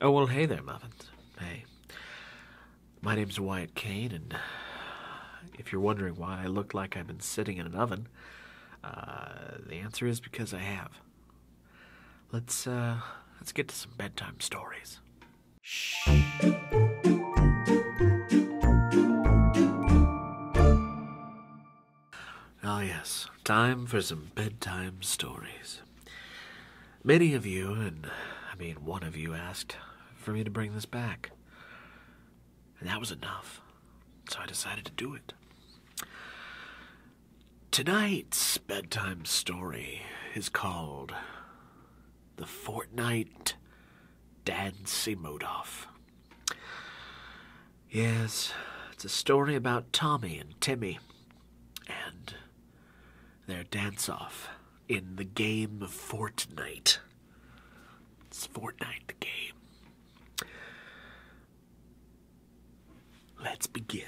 Oh, well, hey there, Muffins. Hey. My name's Wyatt Kane, and if you're wondering why I look like I've been sitting in an oven, uh, the answer is because I have. Let's, uh, let's get to some bedtime stories. Shh. Ah, yes, time for some bedtime stories. Many of you, and I mean one of you, asked for me to bring this back. And that was enough. So I decided to do it. Tonight's bedtime story is called The Fortnight Dancy Simodoff." Yes, it's a story about Tommy and Timmy. And their dance off in the game of Fortnite. It's Fortnite the game. Let's begin.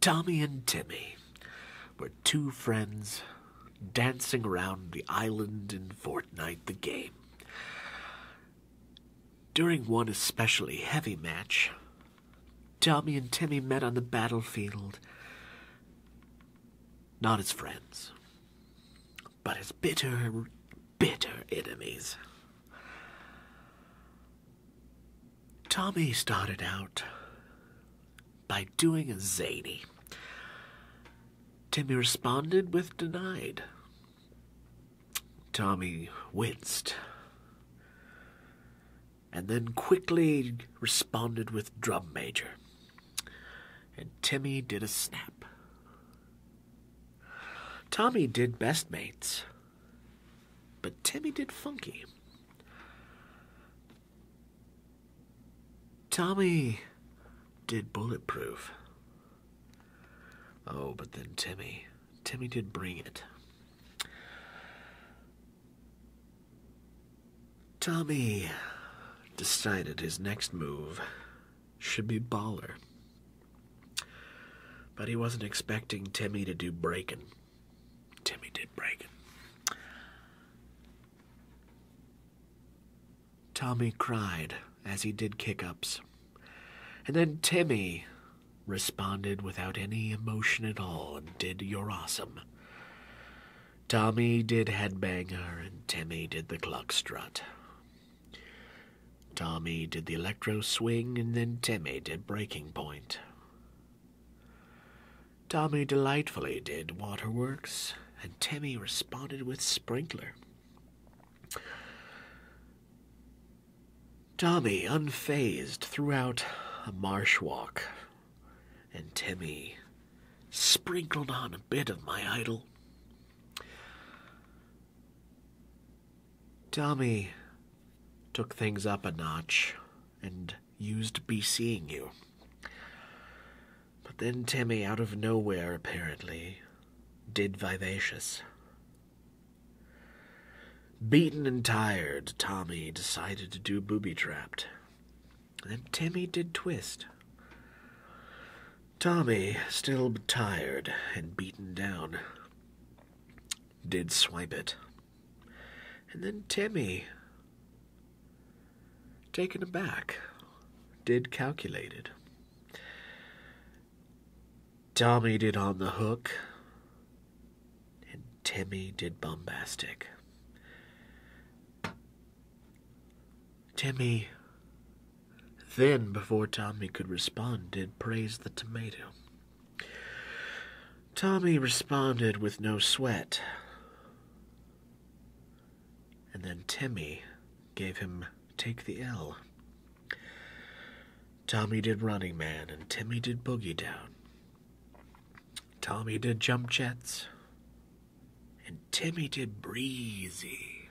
Tommy and Timmy were two friends dancing around the island in Fortnite the game. During one especially heavy match, Tommy and Timmy met on the battlefield. Not as friends, but as bitter, bitter enemies. Tommy started out by doing a zany. Timmy responded with denied, Tommy winced and then quickly responded with drum major. And Timmy did a snap. Tommy did best mates, but Timmy did funky. Tommy did bulletproof. Oh, but then Timmy. Timmy did bring it. Tommy decided his next move should be baller. But he wasn't expecting Timmy to do breaking. Timmy did breaking. Tommy cried as he did kick ups. And then Timmy responded without any emotion at all and did your awesome. Tommy did headbanger and Timmy did the clock strut. Tommy did the electro swing and then Timmy did breaking point. Tommy delightfully did waterworks and Timmy responded with sprinkler. Tommy, unfazed, throughout a marsh walk, and Timmy sprinkled on a bit of my idol. Tommy took things up a notch and used Be Seeing You. But then Timmy, out of nowhere apparently, did Vivacious Beaten and tired, Tommy decided to do booby trapped. Then Timmy did twist. Tommy, still tired and beaten down, did swipe it. And then Timmy, taken aback, did calculated. Tommy did On the Hook, and Timmy did Bombastic. Timmy, then before Tommy could respond, did praise the tomato. Tommy responded with no sweat, and then Timmy gave him take the L. Tommy did Running Man, and Timmy did Boogie Down. Tommy did Jump Jets, and Timmy did Breezy.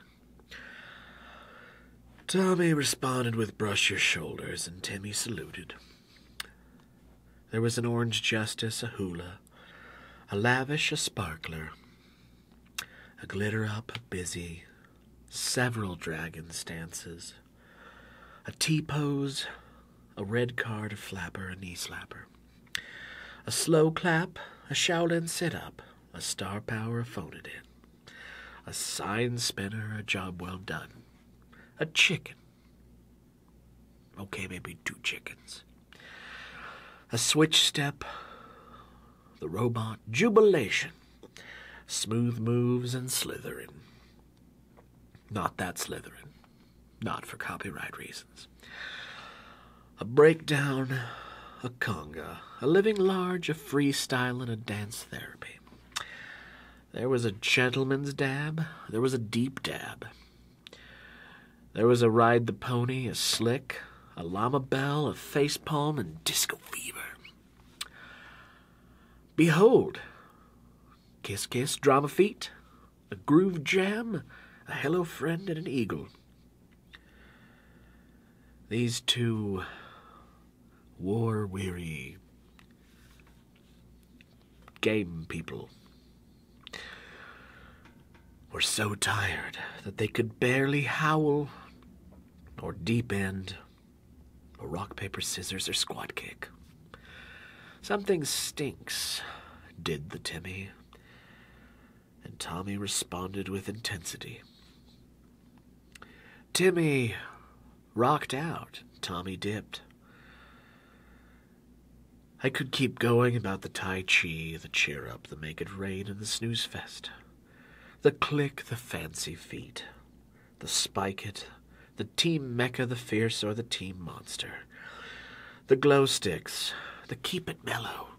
Tommy responded with Brush Your Shoulders, and Timmy saluted. There was an Orange Justice, a hula, a lavish, a sparkler, a glitter up, a busy, several dragon stances, tea pose, a red card, a flapper, a knee slapper, a slow clap, a Shaolin sit up, a star power, a folded in, a sign spinner, a job well done, a chicken. Okay, maybe two chickens. A switch step, the robot Jubilation, smooth moves and slithering. Not that slithering, not for copyright reasons. A breakdown, a conga, a living large, a freestyle, and a dance therapy. There was a gentleman's dab, there was a deep dab. There was a ride the pony, a slick, a llama bell, a face palm, and disco fever. Behold, kiss, kiss, drama feet, a groove jam, a hello friend, and an eagle. These two war weary game people were so tired that they could barely howl or deep end rock, paper, scissors, or squat kick. Something stinks, did the Timmy. And Tommy responded with intensity. Timmy rocked out. Tommy dipped. I could keep going about the Tai Chi, the cheer up, the make it rain, and the snooze fest. The click, the fancy feet, the spike it, the team mecca, the fierce or the team monster, the glow sticks, the keep it mellow,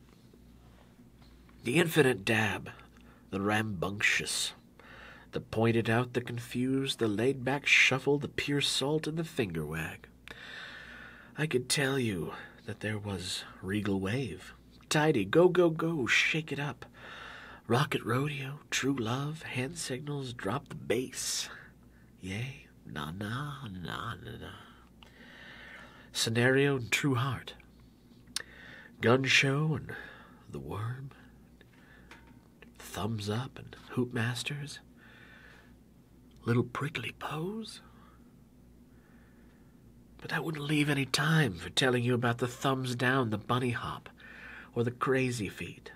the infinite dab, the rambunctious, the pointed out, the confused, the laid back shuffle, the pure salt, and the finger wag. I could tell you that there was regal wave, tidy, go, go, go, shake it up. Rocket Rodeo, True Love, Hand Signals, Drop the Bass. Yay, na na, na na na. Scenario and True Heart. Gun Show and The Worm. Thumbs Up and Hoop Masters. Little Prickly Pose. But I wouldn't leave any time for telling you about the thumbs down, the bunny hop, or the crazy feet.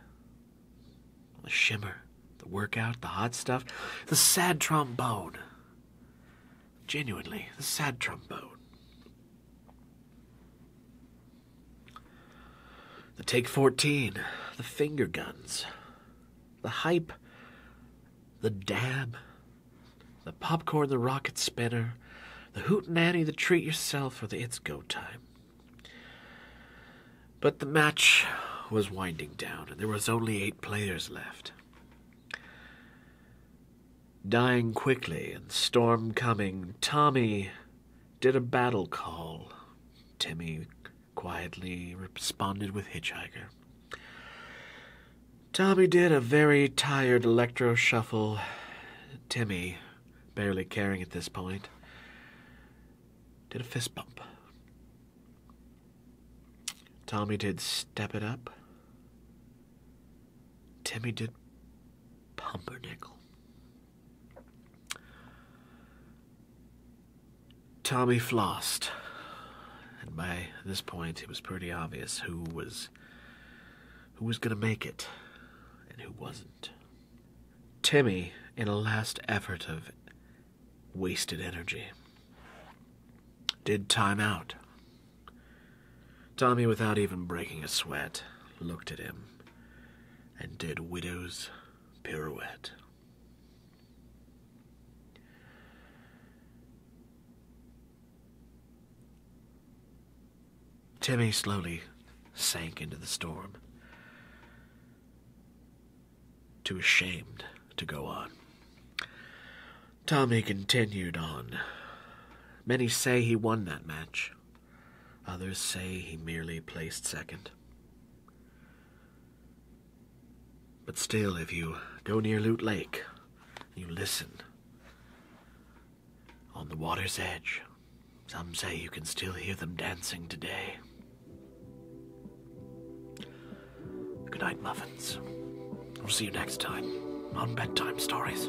The shimmer, the workout, the hot stuff, the sad trombone. Genuinely, the sad trombone. The Take 14, the finger guns, the hype, the dab, the popcorn, the rocket spinner, the hootenanny, the treat yourself, or the it's go time. But the match was winding down, and there was only eight players left. Dying quickly and storm coming, Tommy did a battle call. Timmy quietly responded with Hitchhiker. Tommy did a very tired electro shuffle Timmy, barely caring at this point, did a fist bump. Tommy did step it up. Timmy did pumpernickel. Tommy flossed. And by this point, it was pretty obvious who was who was going to make it and who wasn't. Timmy, in a last effort of wasted energy, did time out. Tommy, without even breaking a sweat, looked at him and did Widow's pirouette. Timmy slowly sank into the storm, too ashamed to go on. Tommy continued on. Many say he won that match, others say he merely placed second. But still, if you go near Loot Lake, you listen on the water's edge. Some say you can still hear them dancing today. Good night, Muffins. We'll see you next time on Bedtime Stories.